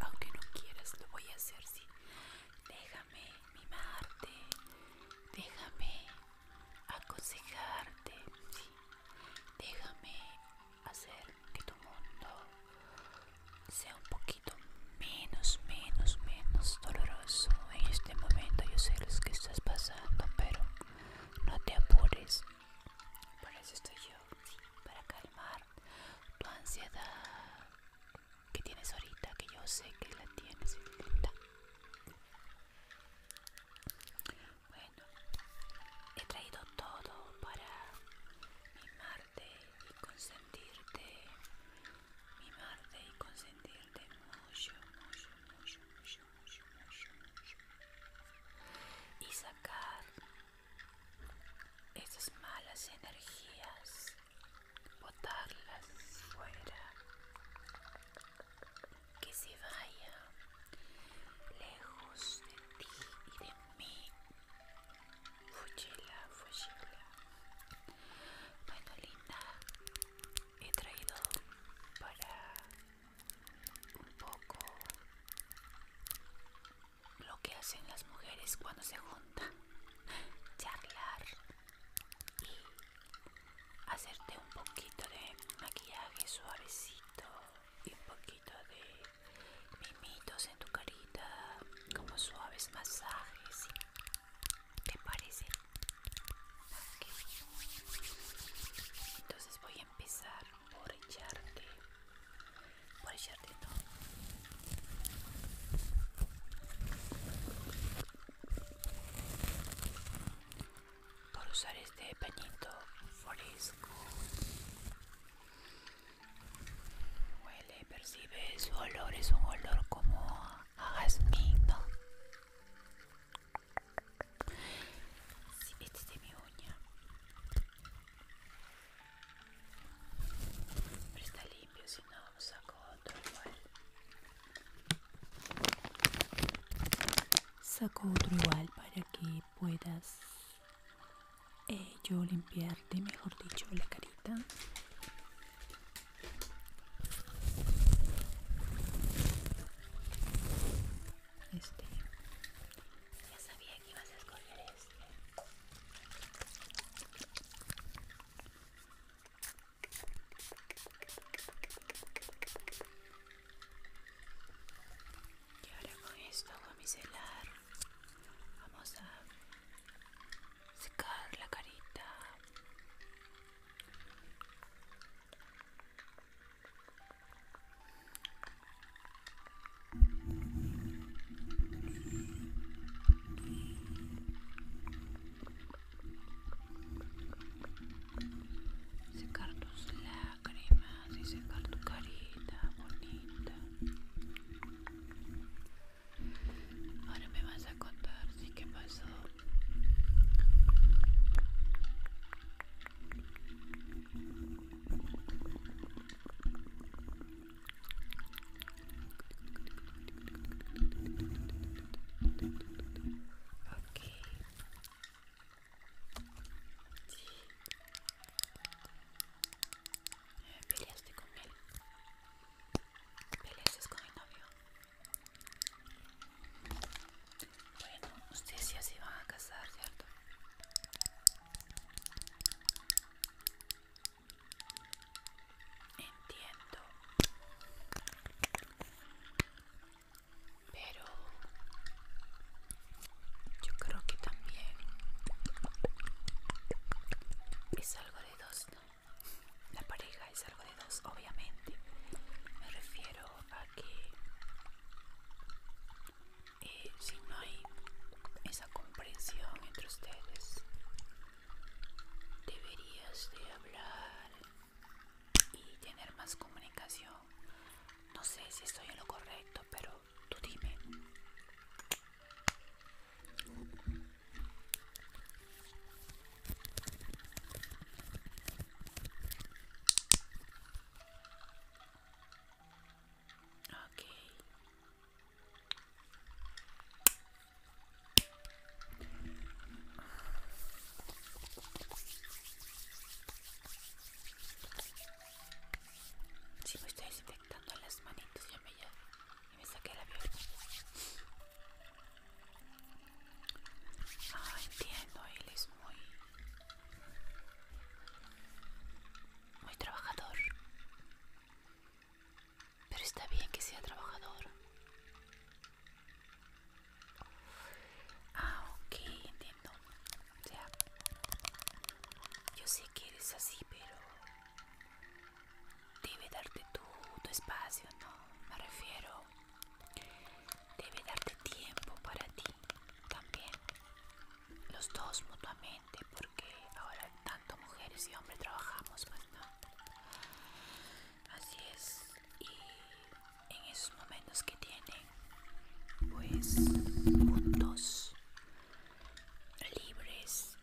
aunque no quieras lo voy a hacer sí déjame mimarte déjame aconsejarte sí déjame hacer que tu mundo sea un poquito menos menos menos doloroso en este momento yo sé lo que estás pasando pero no te apures por eso estoy yo para calmar tu ansiedad que tienes ahorita, que yo sé que la tienes, Bueno, he traído todo para mimarte y consentirte, mimarte y consentirte mucho, mucho, mucho, mucho, mucho, mucho, mucho. Y sacar esas malas energías, botarlas fuera, que se vaya lejos de ti y de mí. Fugila, fugila. Bueno, linda, he traído para un poco lo que hacen las mujeres cuando se juntan, charlar y hacerte un poquito de maquillaje suavecito y un poquito de mimitos en tu carita, como suaves masajes. ¿Te parece? Entonces voy a empezar por echarte por echarte no por usar este pañito fresco huele percibe su olor es un olor como a jazmín ¿no? si este mi uña pero está limpio, si no saco otro igual. Saco otro igual para que puedas eh, yo limpiarte, mejor dicho, la carita. Este, ya sabía que ibas a escoger eso. Y ahora con esto a micelar vamos a secar la carita. Secar tus lágrimas y secar tu carita bonita. Ahora me vas a contar si qué pasó. Ok. Sí. Peleaste con él. Peleaste con el novio. Bueno, ustedes ya se van a casar, ¿cierto? Entiendo. Pero yo creo que también es algo de dos, La pareja es algo de dos, obviamente. Me refiero a que si no hay esa comprensión entre ustedes deberías de hablar y tener más comunicación no sé si estoy en lo correcto pero tú dime Okay. Si me estoy desinfectando las manitos, ya me ya y me saqué la viola. Ah, entiendo, él es muy muy trabajador. Pero está bien que sea trabajador. Ah, ok, entiendo. O sea, yo sé que eres así, pero debe darte tu, tu espacio, ¿no? Me refiero, debe darte tiempo para ti también los dos mutuamente porque ahora tanto mujeres y hombres trabajamos pues así es y en esos momentos que tienen pues juntos libres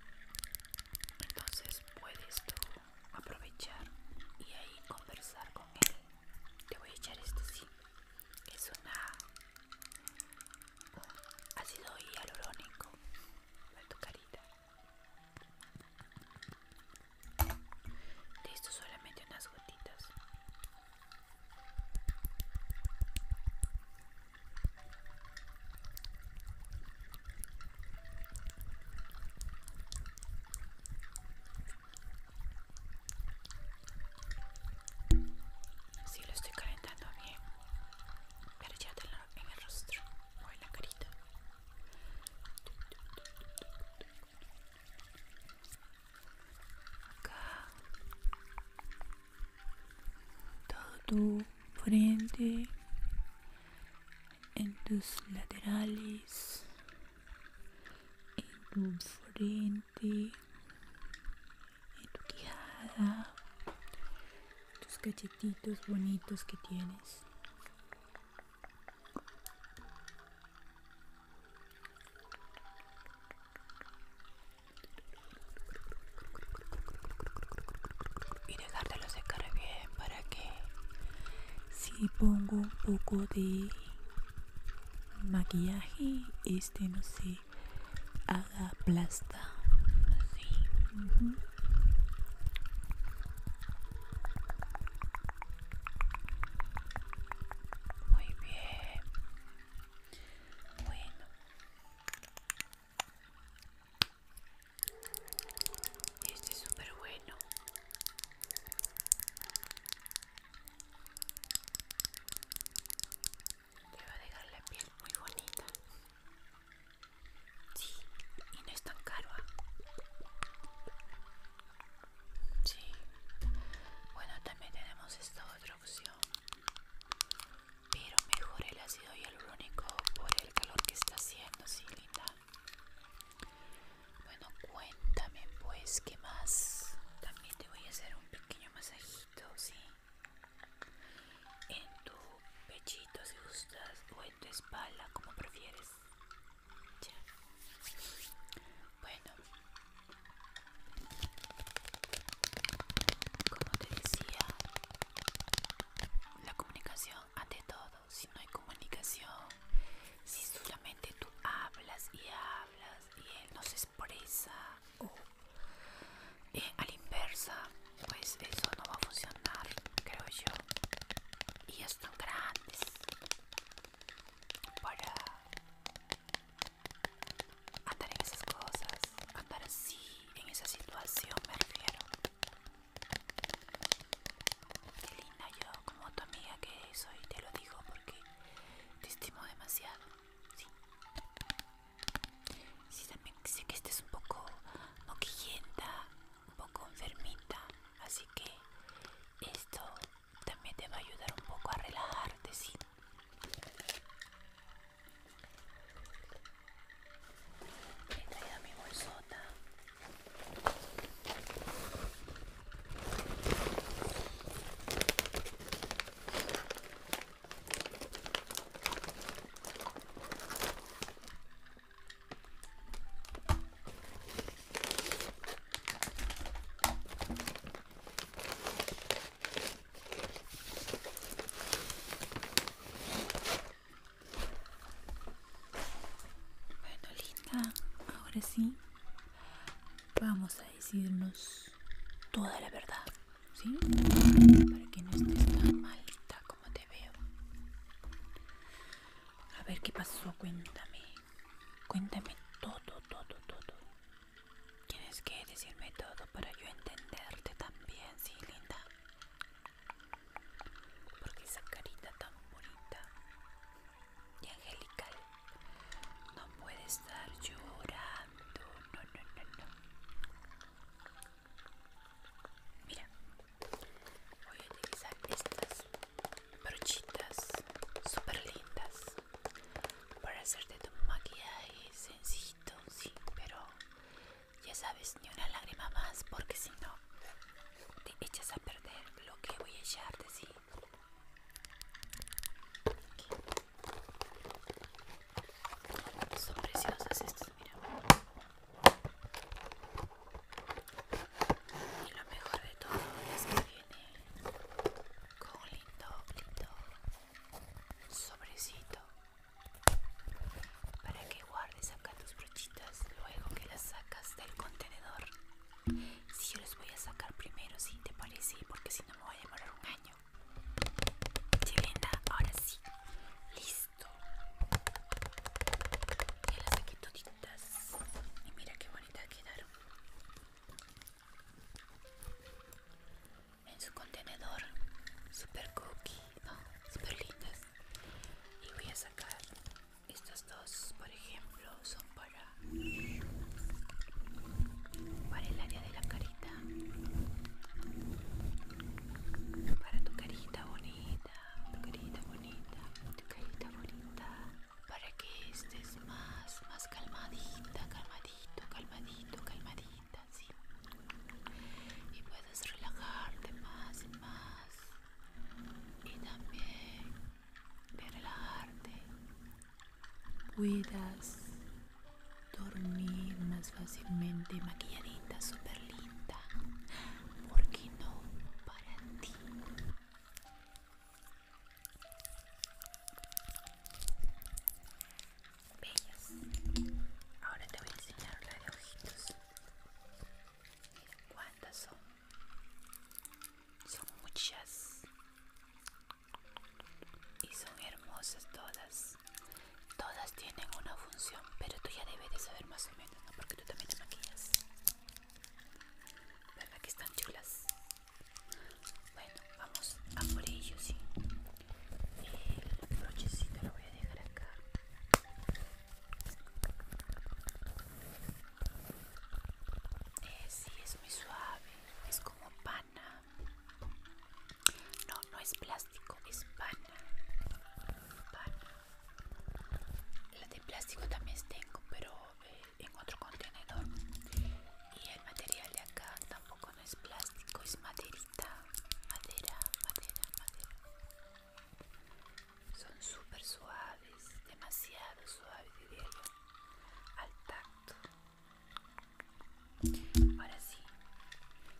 entonces puedes tú aprovechar y ahí conversar con él te voy a echar esto sí es una sido hialurónico para tu carita. Listo, solamente unas gotitas si lo estoy calentando bien. Pero ya te lo, en el rostro o en la carita. Acá. Todo tu frente. En tus laterales. En tu frente en tu quijada, tus cachetitos bonitos que tienes. Y los de bien para que si pongo un poco de maquillaje, este no sé haga plasta así muy bien bueno este es súper bueno te va a dejar la piel muy bonita. Sí, y no es tan caro. ¿ah? Sí. Bueno, también tenemos esta otra opción. Pero mejor el ácido hialurónico por el calor que está haciendo, sí, linda. Bueno, cuéntame pues qué más. También te voy a hacer un pequeño masaje en tu pechito si gustas o en tu espalda, como prefieres. Bueno. Como te decía, la comunicación ante todo. Si no hay comunicación, si solamente tú hablas y hablas y él no se expresa o y eh, a la inversa pues eso no va a funcionar creo yo y están grandes para andar en esas cosas andar así en esa situación me refiero qué linda yo como tu amiga que soy te lo digo porque te estimo demasiado Sí. también sé que este es un poco moquillenta, un poco enfermita, así que esto también te va a ayudar un poco a relajarte, sí. He traído mi bolsota. Bueno, linda, ahora sí vamos a decirnos toda la verdad, ¿sí? Para que no estés tan malita como te veo. A ver qué pasó, cuéntame. Cuéntame todo, todo, todo. Tienes que decirme todo para yo entenderte también, ¿sí, linda? Porque esa carita tan bonita y angelical no puede estar llorando. No, no, no, no. Mira, voy a utilizar estas brochitas super lindas para hacerte tu maquillaje sencito, sí, pero ya sabes, ni una lágrima más, porque si no te echas a perder lo que voy a echarte, sí. Son preciosas estas, mira. Y lo mejor de todo es que viene con un lindo, lindo sobrecito para que guardes acá tus brochitas luego que las sacas del contenedor si yo los voy a sacar primero, si te parece, porque si no me voy a demorar un año. linda ahora sí. Listo. Ya las saqué toditas. Y mira qué bonitas quedaron. En su contenedor. Super cookie, ¿no? Super lindas. Y voy a sacar estas dos, por ejemplo, son para, el área de la carita para tu carita bonita tu carita bonita tu carita bonita para que estés más más calmadita calmadito calmadito calmadita sí y puedes relajarte más y más y también de relajarte, cuidas, dormir más fácilmente maquilladita, super linda. ¿Por no para ti? Bellas. Ahora te voy a enseñar la de ojitos. cuántas son. Son muchas y son hermosas todas todas tienen una función pero tú ya debes de saber más o menos ¿no? porque tú también te maquillas verdad que están chulas bueno vamos a por ello sí el brochecito lo voy a dejar acá eh, sí es muy suave es como pana no no es plástico es pana la de plástico también tengo pero eh, en otro contenedor y el material de acá tampoco no es plástico es maderita madera madera madera son súper suaves demasiado suaves de al tacto Ahora sí,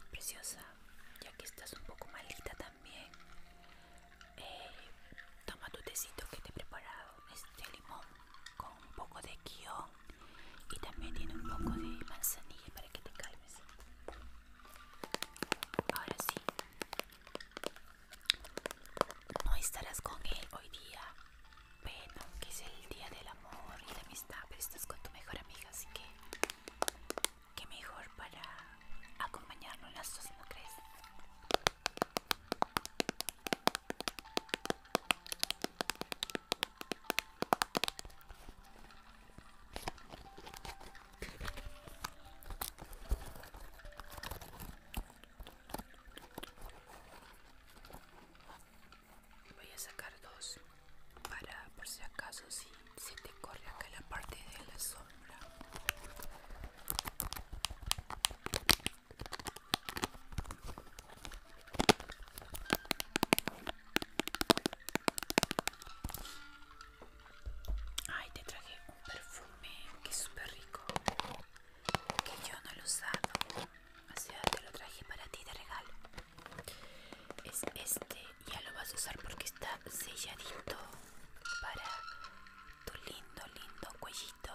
preciosa, ya que estás un poco malita también, eh, toma tu tecito que te he preparado, Este limón con un poco de guión y también tiene un poco de manzanilla para que te calmes. Ahora sí, no estarás con él hoy día bueno, que es el día del amor y de amistad, pero estás con tu mejor amiga, así que qué mejor para en las dos, ¿no crees? voy a sacar dos para por si acaso si se te corre acá la parte de la sombra Ay, te traje un perfume que es súper rico que yo no lo usaba usado o sea te lo traje para ti de regalo es este ya lo vas a usar porque está selladito para tu lindo lindo cuellito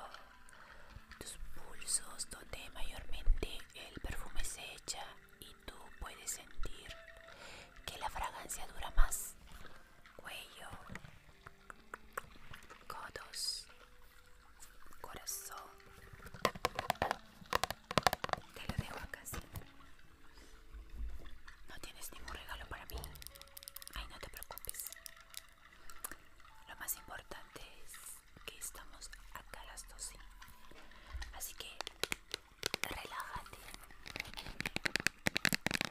tus pulsos donde mayormente el perfume se echa y tú puedes sentir que la fragancia dura más cuello codos, corazón. Te lo dejo acá No tienes ningún regalo para mí. Ay, no te preocupes. Lo más importante es que estamos acá las dos Así que relájate.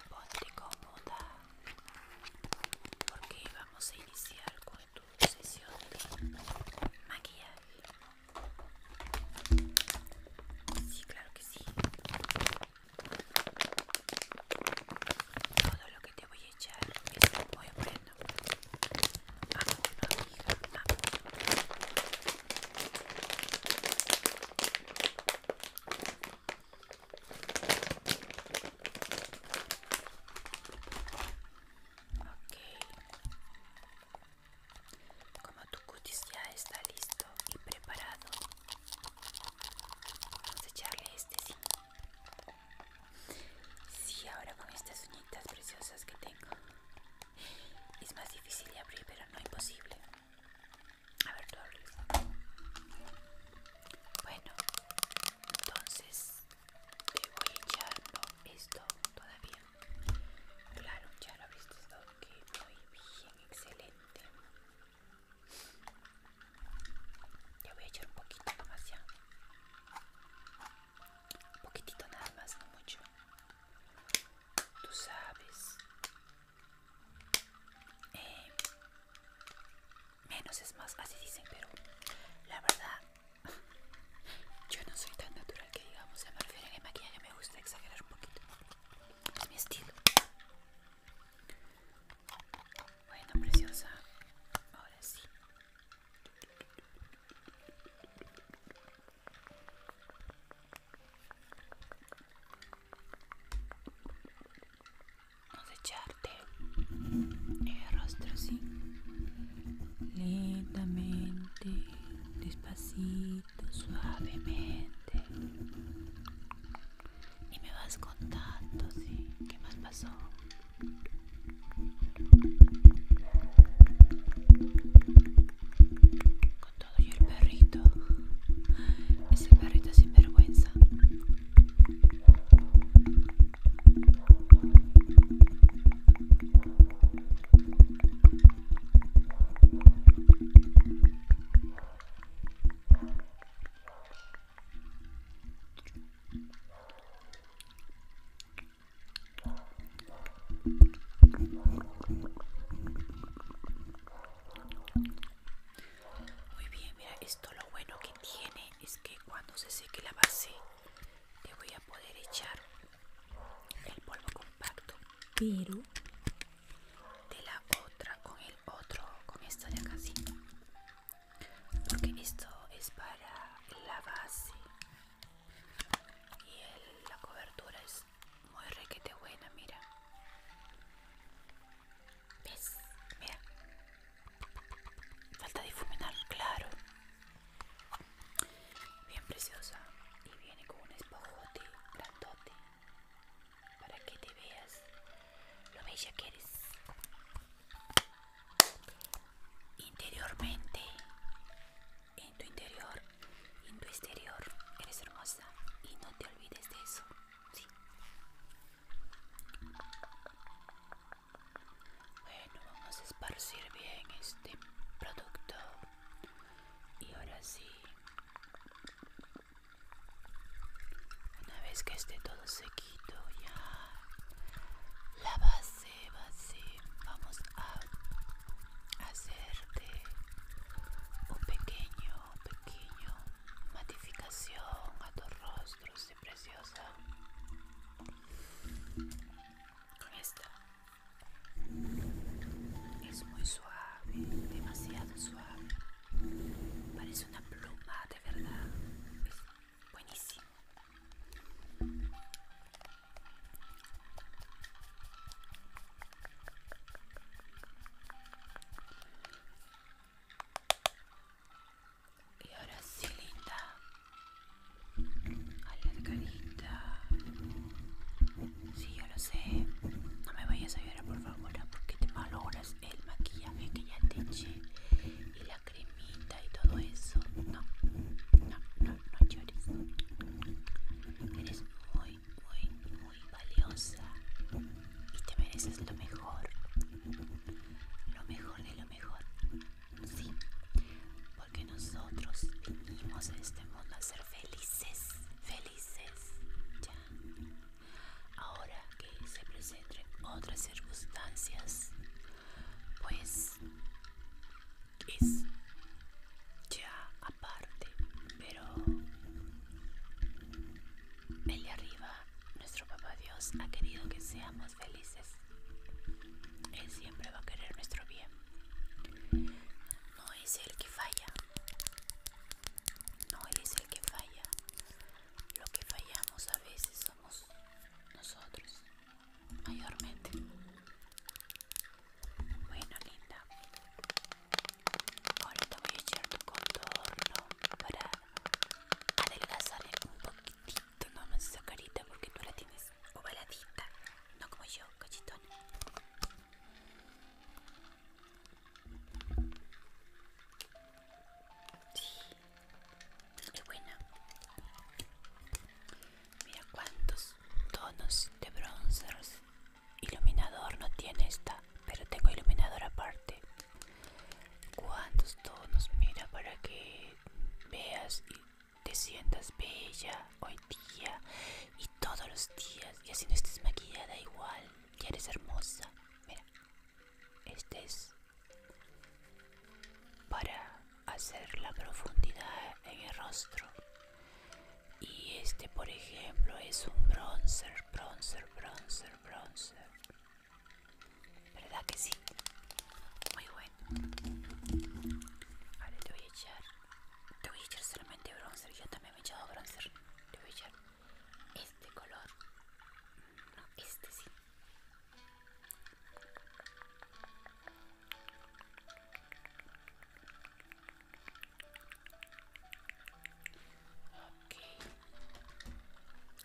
Ponte cómoda. Porque vamos a iniciar con tu sesión de maquillaje. Sí, claro que sí. Todo lo que te voy a echar es voy A poner a uno. Ok. Como tu cutis ya está listo y preparado, vamos a echarle este sí. Sí, ahora con estas uñitas preciosas que tengo. Es más difícil de abrir, pero no imposible. A ver, tú Bueno, entonces te voy echar esto todavía claro ya lo habéis visto que muy bien excelente ya voy a echar un poquito más ya un poquitito nada más no mucho tú sabes eh, Menos es más, así dicen, pero la verdad, yo no soy tan natural que digamos, se me a que maquillaje me gusta exagerar un poquito. Es mi estilo. Bueno, preciosa. Ahora sí echarte el rostro así lentamente despacito suavemente y me vas contando sí qué más pasó con todo y el perrito ese perrito sin vergüenza muy bien, mira, esto lo bueno que tiene es que cuando se seque la base te voy a poder echar el polvo compacto pero de la otra con el otro con esta de acá porque esto es para la base y la cobertura es muy requete buena mira ves mira Falta difuminar, claro. Bien preciosa. Y viene con un espojote grandote. Para que te veas lo bella que eres. Interiormente. En tu interior. En tu exterior. Eres hermosa. Y no te olvides de eso. Bueno, vamos a esparcir bien este producto. Y ahora sí. Una vez que esté todo sequito ya. La base, Vamos a hacerte un pequeño, pequeño matificación a tus rostros es preciosa. Es muy suave, demasiado suave. Parece una pluma, de verdad. Es buenísimo. Y ahora sí, A la carita. Sí, yo lo sé. No me vayas a llorar, por favor, porque te valoras el maquillaje que ya te eché. Y la cremita y todo eso. No, no, no, no llores. Eres muy, muy, muy valiosa y te mereces lo mejor, lo mejor de lo mejor. Sí, porque nosotros vinimos a este mundo a ser felices, felices. Ya. Ahora que se presenten otras circunstancias, pues es ya aparte, pero el de arriba, nuestro papá Dios, ha querido que seamos felices. Él siempre va a querer nuestro bien. No es el que falla. No es el que falla. Lo que fallamos a veces somos nosotros, mayormente. Bueno, linda. Ahora te voy a echar tu contorno para adelgazar un poquitito nomás esa carita porque tú la tienes ovaladita, no como yo, cachitón Sí, qué buena. Mira cuántos tonos de bronzers. Iluminador no tiene esta, pero tengo iluminador aparte. Cuántos tonos mira para que veas y te sientas bella hoy día y todos los días y así no estés maquillada igual, ya eres hermosa. Mira, este es para hacer la profundidad en el rostro. Y este, por ejemplo, es un bronzer, bronzer, bronzer, bronzer. ¿Verdad que sí? Muy bueno. te voy a echar. Te voy a echar solamente bronzer. Yo también me he echado bronzer. Te voy a echar este color. No, este sí.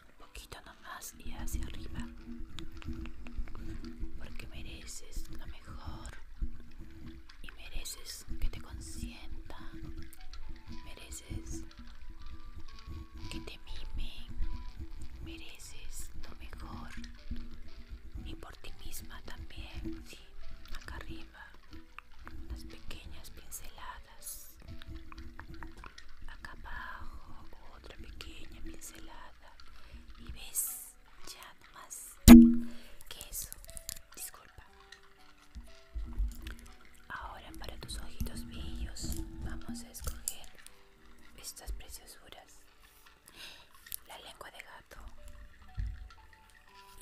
Un poquito nomás y hacia arriba. Porque mereces lo mejor. Y mereces que te consienta Mereces que te mime Mereces lo mejor. Y por ti misma también. acá arriba. las pequeñas pinceladas acá abajo otra pequeña pincelada y ves ya más que eso disculpa ahora para tus ojitos bellos vamos a escoger estas preciosuras la lengua de gato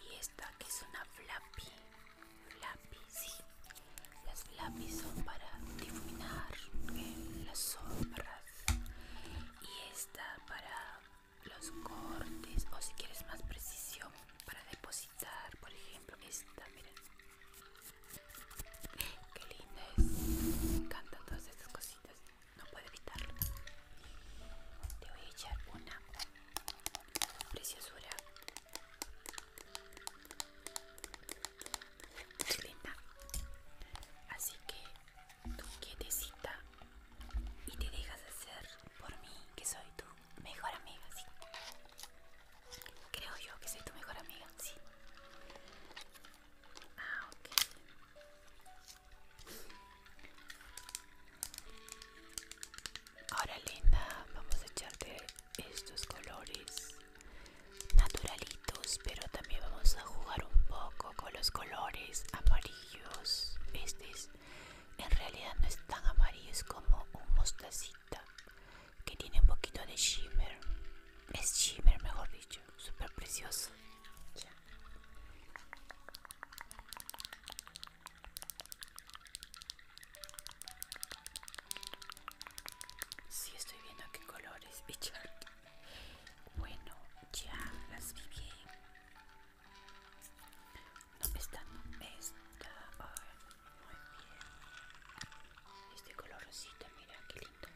y esta que es una flappy lápiz, las flappies son para difuminar eh, las sombras y esta para los cortes o si quieres más precisión para depositar por ejemplo esta mira qué linda es me encantan todas estas cositas no puedo evitarlo te voy a echar una preciosura linda así que tú quietecita y te dejas hacer por mí que soy tu mejor amiga sí creo yo que soy tu mejor amiga sí ah Ahora linda, vamos a echarte estos colores naturalitos pero también vamos a jugar un poco con los colores amarillos este en realidad no están amarillos es como un mostacita que tiene un poquito de shimmer es shimmer mejor dicho super precioso si sí, estoy viendo qué colores, Bichard. Bueno, ya las vi bien. No, esta no, me muy bien. Este color rosita, mira qué lindo.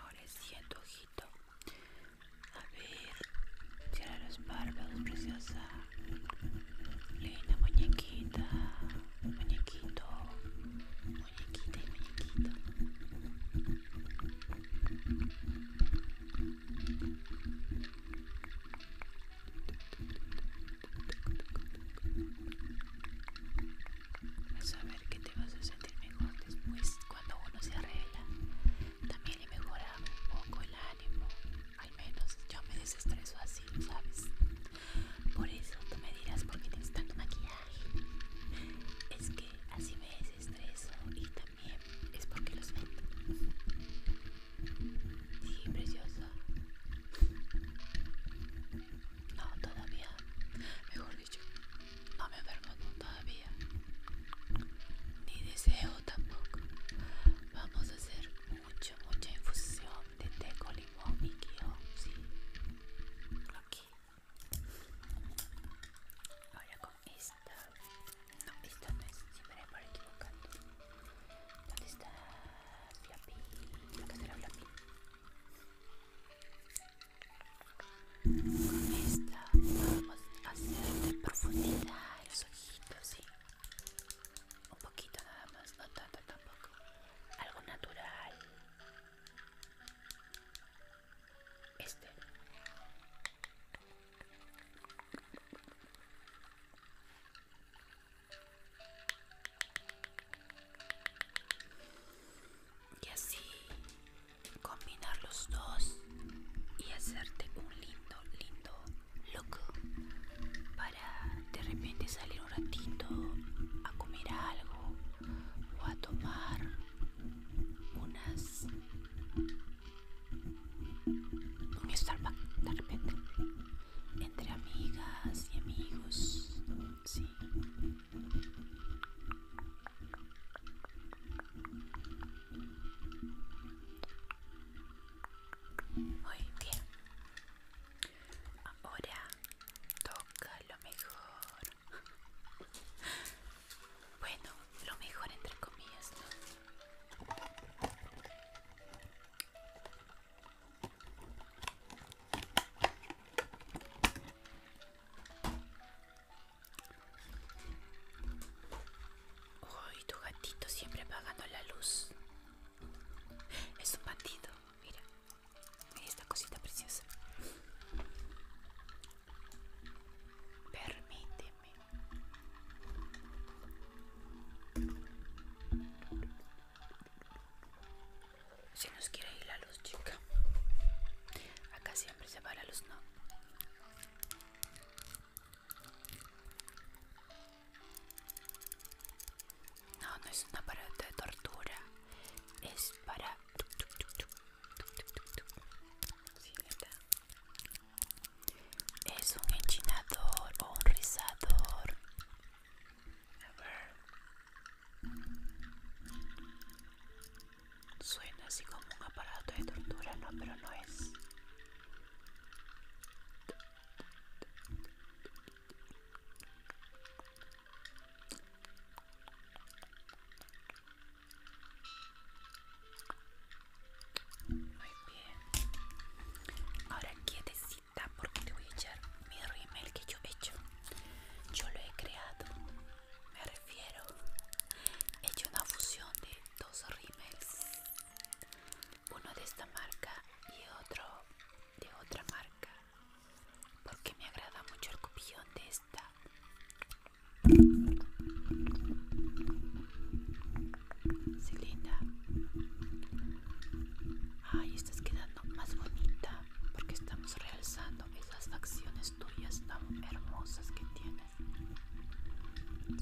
Ahora siento ojito. A ver, cierra los párpados, preciosa. Linda muñequita, muñequito, muñequita y muñequito a saber que te vas a sentir mejor después cuando uno se arregla. También le mejora un poco el ánimo. Al menos yo me desestreso así, ¿sabes? Por eso tú me dirás por qué tienes tanto maquillaje. Es que así me desestreso y también es porque los vendo. Sí, precioso no, todavía. Mejor dicho, no me enfermo todavía. Ni deseo tampoco. Vamos a hacer mucha, mucha infusión de té con limón y guión, ¿sí? Aquí. Ahora con esta. No, esta no es. me por equivocando. ¿Dónde está? será esta vamos a hacer de profundidad los ojitos, ¿sí? Un poquito nada más, no tanto tampoco. Algo natural. Este. Y así combinar los dos y hacerte un lindo, lindo look para de repente salir un ratito a comer algo o a tomar unas un Starbucks de repente entre amigas y amigos, sí. Muy bien. Ahora toca lo mejor. Bueno, lo mejor entre comillas, Uy, tu gatito siempre apagando la luz. Es un patito, mira. Mira esta cosita preciosa. Permíteme. Si nos quiere ir la luz, chica. Acá siempre se va la luz, ¿no? No, no es un aparato de tortura. Es para... es un enchinador o un rizador a Suena así como un aparato de tortura, no, pero no es. Muy bien. Ahora quietecita porque te voy a echar mi rímel que yo he hecho yo lo he creado me refiero he hecho una fusión de dos rímeles uno de esta marca y otro de otra marca porque me agrada mucho el copillón de esta si linda Ay, estás quedando más bonita porque estamos realzando esas facciones tuyas tan hermosas que tienes.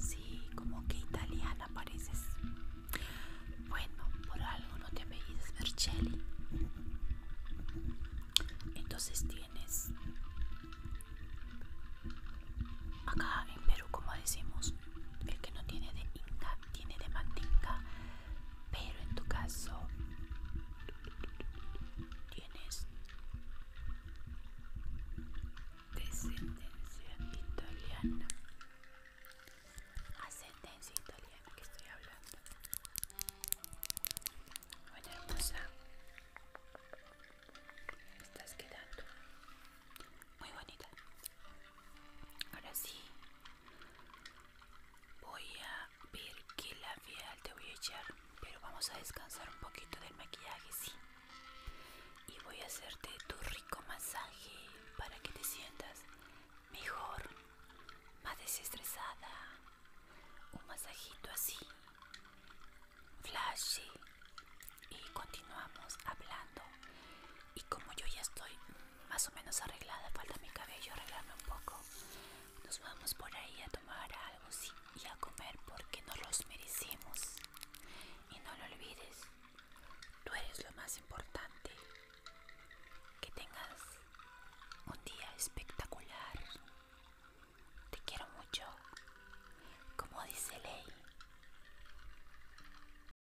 Sí, como que italiana pareces. Bueno, por algo no te apellidas Vercelli. Entonces tienes acá en Perú como decimos el que no tiene de Inca tiene de manteca, pero en tu caso tienes descendencia italiana, ascendencia italiana que estoy hablando. buena hermosa, estás quedando muy bonita. Ahora sí, Voy a ver qué labial te voy a echar, pero vamos a descansar un poquito del maquillaje, sí. Y voy a hacerte tu rico masaje para que te sientas mejor, más desestresada. Un masajito así, flashy. Y continuamos hablando. Y como yo ya estoy más o menos arreglada, falta mi cabello arreglarme un poco. Nos vamos por ahí a tomar algo y a comer porque nos los merecemos. Y no lo olvides, tú eres lo más importante. Que tengas un día espectacular. Te quiero mucho, como dice Ley.